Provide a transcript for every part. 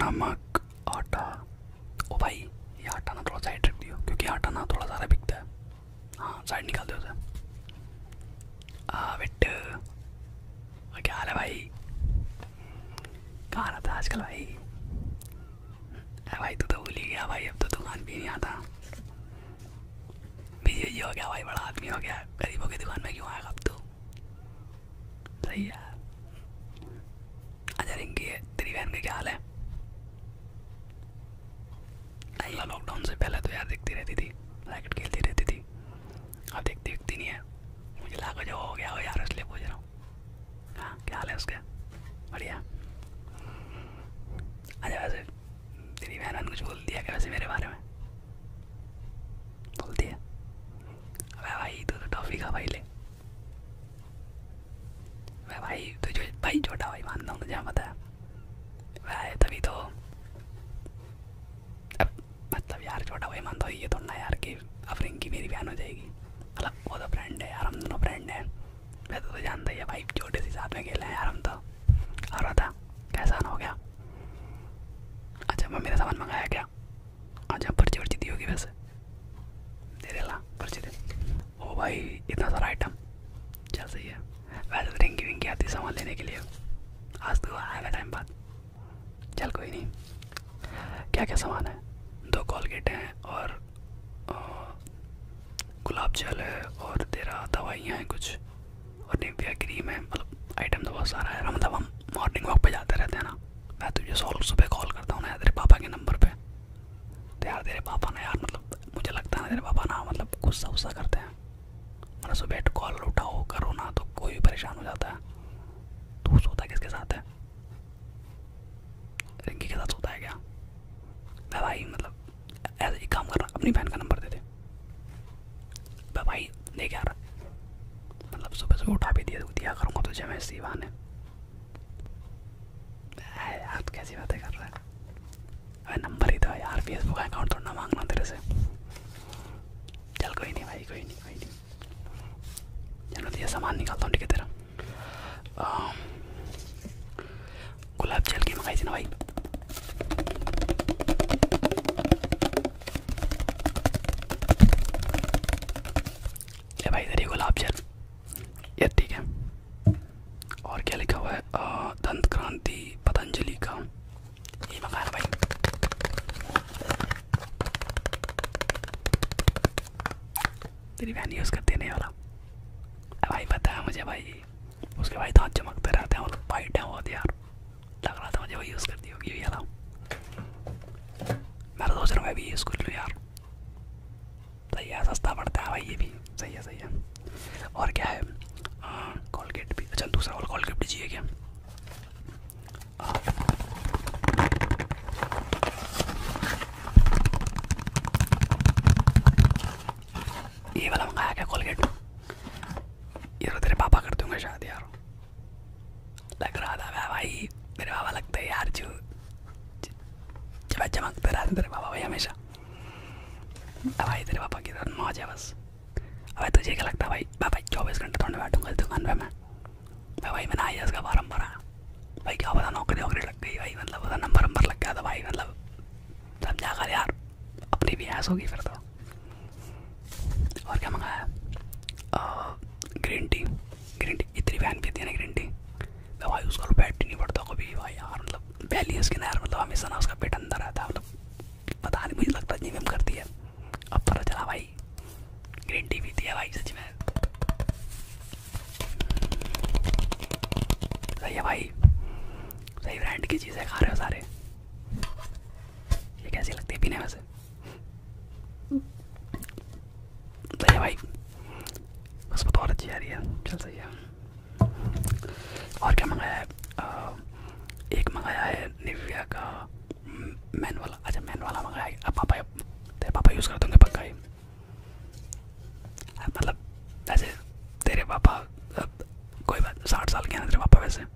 नमक आटा ओ भाई ये आटा ना थोड़ा साइड रख दियो क्योंकि आटा ना थोड़ा ज़्यादा बिकता है हाँ साइड निकाल दो क्या हाल है भाई कहाँ रहता है आजकल भाई अरे भाई तू तो भूल ही गया भाई अब तो दुकान भी नहीं आता बिजी हो गया भाई बड़ा आदमी हो गया गरीबों की दुकान में क्यों आएगा अब तो सही है अच्छा रिंकी है तेरी बहन का क्या हाल है नहीं लॉकडाउन से पहले तो यार देखती रहती थी रैकेट खेलती रहती थी अब देखती दिखती नहीं है मुझे लाखों जो हो गया हो यार इसलिए पूछ रहा हूँ हाँ क्या हाल है उसका बढ़िया अच्छा वैसे तेरी बहन कुछ बोल दिया क्या वैसे मेरे बारे में बोलती है अबे भाई तू तो टॉफी खा भाई ले मैं भाई तुझे भाई छोटा भाई मानता हूँ तुझे पता है भाई तभी तो अब मतलब यार छोटा भाई मानता हूँ ये तो ना यार कि अब रिंकी मेरी बहन हो जाएगी मतलब वो तो फ्रेंड है यार हम दोनों फ्रेंड हैं मैं तो, तो जानता ही है भाई छोटे से साथ में खेले हैं यार हम तो और बता कैसा ना हो गया अच्छा मम्मी ने सामान मंगाया क्या अच्छा पर्ची वर्ची दी होगी वैसे दे देना पर्ची दे ओ भाई इतना सारा आइटम चल सही है वैसे रिंग तो विंग आती सामान लेने के लिए आज तो आएगा टाइम बाद चल कोई नहीं क्या क्या सामान है दो कॉलगेट हैं और गुलाब जल है और तेरा दवाइयाँ हैं कुछ और निविया क्रीम है मतलब आइटम तो बहुत सारा है मतलब हम मॉर्निंग वॉक पर जाते रहते हैं ना मैं तुझे सॉल्व सुबह कॉल करता हूँ ना तेरे पापा के नंबर पर तो यार तेरे पापा ना यार मतलब मुझे लगता है ना तेरे पापा ना मतलब गुस्सा गुस्सा करते हैं मतलब सुबह कॉल उठाओ करो ना तो कोई भी परेशान हो जाता है तू सोता किसके साथ है रिंकी के साथ सोता है क्या मैं भाई मतलब ऐसे ही काम रहा अपनी बहन का नंबर दे दे भाई देख यार मतलब सुबह सुबह उठा भी दिया दिया करूँगा तुझे मैं इसी ने यार कैसी बातें कर रहा है अरे नंबर ही तो है यार फेसबुक अकाउंट थोड़ा मांगना तेरे से चल कोई नहीं भाई कोई नहीं कोई नहीं चलो तो ये सामान निकालता हूँ ठीक है तेरा गुलाब जल की मंगाई थी ना भाई ले भाई इधर ही गुलाब जल ये ठीक है और क्या लिखा हुआ है दंत क्रांति पतंजलि का ये मकान भाई तेरी वैन यूज़ करती नहीं वाला भाई पता है मुझे भाई उसके भाई दांत चमकते रहते हैं और वाइट है बहुत यार लग रहा था मुझे वो यूज़ करती होगी ये वाला मैं तो सोच रहा हूँ मैं भी यूज़ कर लूँ यार सही तो है सस्ता पड़ता है भाई ये भी सही है सही है और क्या है कॉलगेट भी अच्छा दूसरा और कॉलगेट भी चाहिए क्या ये वाला मंगाया क्या कॉलगेट ये तो तेरे पापा कर दूंगा शायद यार लग रहा था मैं भाई मेरे बाबा लगते हैं यार जो जब चमकते रहते तेरे बाबा भाई हमेशा भाई तेरे पापा की तरह मौज है बस अब तुझे क्या लगता है भाई भाई चौबीस घंटे थोड़े बैठूंगा इस दुकान पर मैं मैं भाई मैंने आई उसका फार्म भरा भाई क्या पता नौकरी वोकरी लग गई भाई मतलब पता नंबर वंबर लग गया था भाई मतलब समझा कर यार अपनी भी ऐस होगी फिर तो और क्या मंगाया ग्रीन टी ग्रीन टी इतनी वैन पीती है ना ग्रीन टी तो भाई उसका पेट नहीं पड़ता कभी भाई यार मतलब वैली उसकी ना मतलब हमेशा उसका पेट अंदर रहता है मतलब पता नहीं मुझे लगता जिम करती है अब पता चला भाई ग्रीन टी पीती है भाई सच में सही है भाई सही ब्रांड की चीज़ें खा रहे हो सारे कैसी लगती है पीने में से सही अच्छी आ रही है चल सही है और क्या मंगाया है एक मंगाया है निविया का मैन वाला अच्छा मैन वाला मंगाया है अब पापा तेरे पापा यूज़ कर दूँगे पक्का मतलब वैसे तेरे पापा कोई साठ साल के हैं तेरे पापा वैसे हैं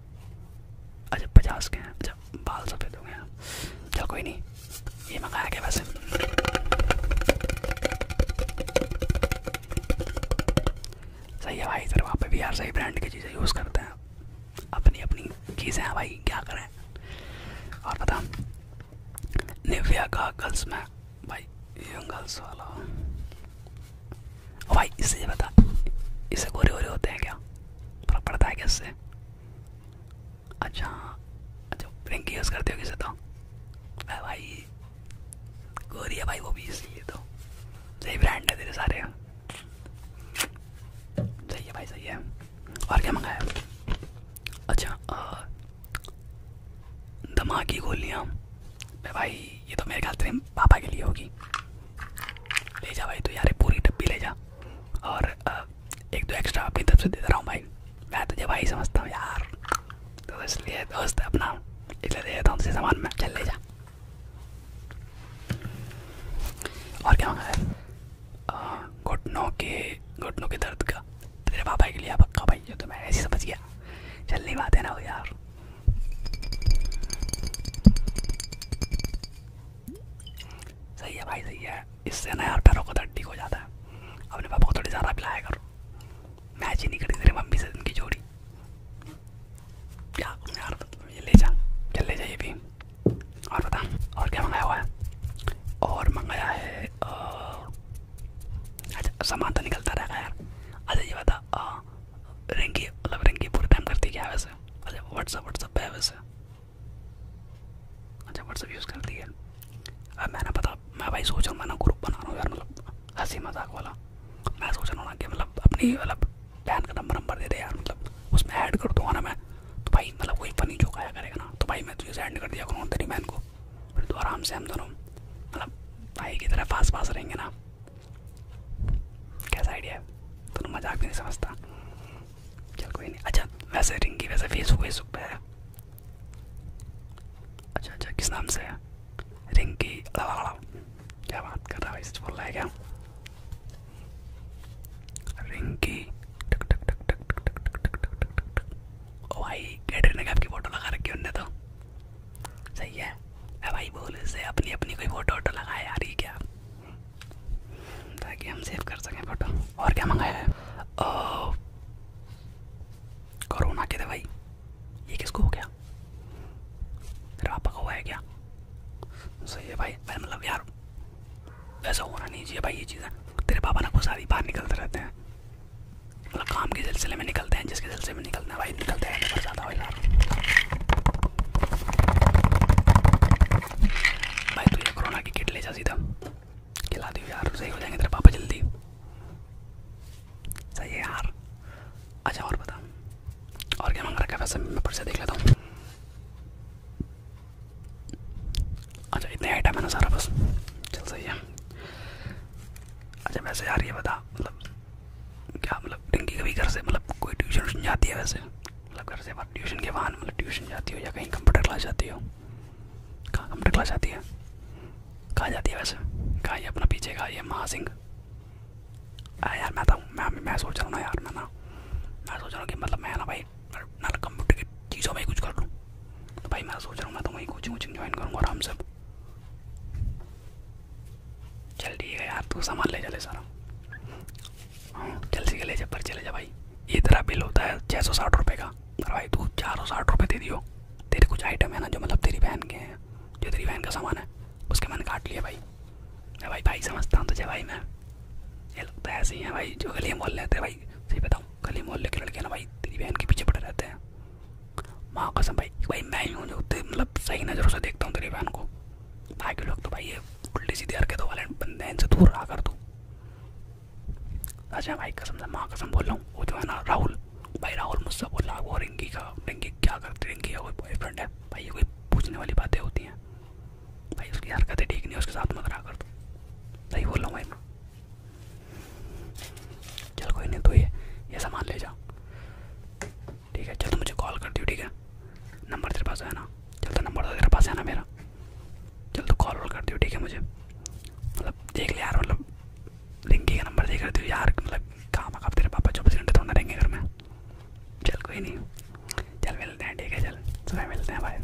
अच्छा पचास के हैं अच्छा बाल सफ़ेद हो गए हैं चल कोई नहीं ये मंगाया गया वैसे सही है भाई इधर वहाँ पे भी यार सही ब्रांड की चीज़ें यूज़ करते हैं अपनी अपनी चीज़ें हैं भाई क्या करें और पता निव्या का गर्ल्स में भाई यंग गर्ल्स वाला और भाई इससे बता इससे गोरे गोरे होते हैं क्या फर्क पड़ता है क्या इससे अच्छा अच्छा रिंग यूज़ करते हो किसे तो अरे भाई गोरी है भाई वो भी इसलिए तो सही ब्रांड है तेरे सारे सही है भाई सही है और क्या मंगाया अच्छा आ, दमा की गोलियाँ भाई ये तो मेरे ख्याल से पापा के लिए होगी ले जा भाई तो यार पूरी डब्बी ले जा और एक दो एक्स्ट्रा अपनी तरफ से दे रहा हूँ भाई मैं तुझे भाई समझता हूँ यार तो इसलिए दोस्त अपना इसलिए दे देता हूँ तुझे सामान में चल ले जा और क्या मांगा है घुटनों के घुटनों के दर्द का तेरे पापा के लिए पक्का भाई जो तो मैं ऐसे समझ गया चल नहीं बात है ना वो यार सही है भाई सही है इससे ना यार पैरों का दर्द ठीक हो जाता है अपने पापा को थोड़ी ज़्यादा पिलाया करो मैच ही नहीं करी तेरे मम्मी से उनकी जोड़ी क्या यार ये ले जा चल ले जाइए भी और बता और क्या मंगाया हुआ है और मंगाया है अच्छा सामान तो निकलता रहेगा यार अच्छा ये बता आ, रिंकी मतलब रिंकी पूरे टाइम करती क्या वैसे अच्छा व्हाट्सअप व्हाट्सअप है वैसे अच्छा व्हाट्सअप यूज़ करती है अब मैंने पता मैं भाई सोच रहा हूँ मैं ना ग्रुप बना रहा हूँ यार मतलब हंसी मजाक वाला मैं सोच रहा हूँ ना कि मतलब अपनी मतलब बहन का नंबर नंबर दे दे यार मतलब उसमें ऐड कर दूँगा ना मैं तो भाई मतलब कोई फनी जोक आया करेगा ना तो भाई मैं तुझे सेंड कर दिया करूँगा तेरी बहन को फिर तो आराम से हम दोनों मतलब भाई की तरह पास पास रहेंगे ना कैसा आइडिया है तुम मजाक नहीं समझता चल कोई नहीं अच्छा वैसे रिंकी वैसे फेसबुक सुख पे है अच्छा अच्छा किस नाम से है रिंकी क्या बात कर रहा है सच बोल रहा है क्या रिंकी टक फोटो लगा रखी तो सही है अब भाई बोल इससे अपनी अपनी कोई फोटो वोटो लगाए यार ये क्या ताकि हम सेव कर सकें फोटो और क्या मंगाया है कोरोना की दवाई ये किसको हो गया फिर आपका हुआ है क्या सही है भाई भाई मतलब यार ऐसा होना नहीं चाहिए भाई ये चीज़ें तेरे पापा ना को सारी बाहर निकलते रहते हैं मतलब काम के सिलसिले में निकलते हैं जिसके सिलसिले से भी निकलना भाई निकलते हैं पर ज़्यादा हो यार भाई तू ये कोरोना की किट ले जा सीधा खिला दी यार सही हो जाएंगे तेरे पापा जल्दी सही है यार अच्छा और बता और क्या मांग रखा है वैसे मैं पर से देख लेता हूँ अच्छा इतने आइटम है ना सारा बस चल सही है अच्छा वैसे यार ये बता मतलब क्या मतलब टिंकी कभी घर से मतलब कोई ट्यूशन व्यूशन जाती है वैसे मतलब घर से आप ट्यूशन के वाहन मतलब ट्यूशन जाती हो या कहीं कंप्यूटर क्लास जाती हो कहाँ कंप्यूटर क्लास जाती है कहाँ जाती है वैसे कहा ये अपना पीछे कहा ये महा सिंह यार मैं था तो, मैं मैं सोच रहा हूँ ना यार मैं ना मैं सोच रहा हूँ कि मतलब मैं ना भाई ना कंप्यूटर की चीज़ों में कुछ कर लूँ तो भाई मैं सोच रहा हूँ मैं तो वहीं कोचिंग वोचिंग ज्वाइन करूँगा आराम से चल ठीक है यार तू सामान ले चले सारा हाँ जल्दी के ले जा पर चले जा भाई ये तेरा बिल होता है छः सौ साठ रुपये का और भाई तू चार सौ साठ रुपये दे दियो तेरे कुछ आइटम है ना जो मतलब तेरी बहन के हैं जो तेरी बहन का सामान है उसके मैंने काट लिया भाई अरे भाई भाई समझता हूँ तुझे भाई मैं ये लगता है ऐसे ही है भाई जो गली मोहल्ले रहते हैं भाई सही बताऊँ गली मोहल्ले के लड़के ना भाई तेरी बहन के पीछे पड़े रहते हैं माँ कसम भाई भाई मैं ही हूँ जो मतलब सही नज़रों से देखता हूँ तेरी बहन को बाकी लोग तो भाई ये उल्टी सीधी हरकतों वाले बंदे इनसे दूर रहा कर तू अच्छा भाई कसम से माँ कसम बोल रहा हूँ वो जो है ना राहुल भाई राहुल मुझसे बोल रहा वो रिंकी का रिंकी क्या करती रिंकी का कोई बॉयफ्रेंड है भाई ये कोई पूछने वाली बातें होती हैं भाई उसकी हरकतें ठीक नहीं उसके साथ मत रहा कर तू सही बोल रहा हूँ भाई मैं चल कोई नहीं तो ये ये सामान ले जाओ ठीक है चल तो मुझे कॉल कर दियो ठीक है नंबर तेरे पास है ना चल तो नंबर तो तेरे पास है ना मेरा चल तो कॉल वॉल कर दियो ठीक है मुझे मतलब देख ले यार मतलब लिंकी का नंबर देख रहे थे यार मतलब काम आप तेरे पापा चौबीस घंटे थोड़ा रहेंगे घर में चल कोई नहीं चल मिलते हैं ठीक है चल सुबह मिलते हैं भाई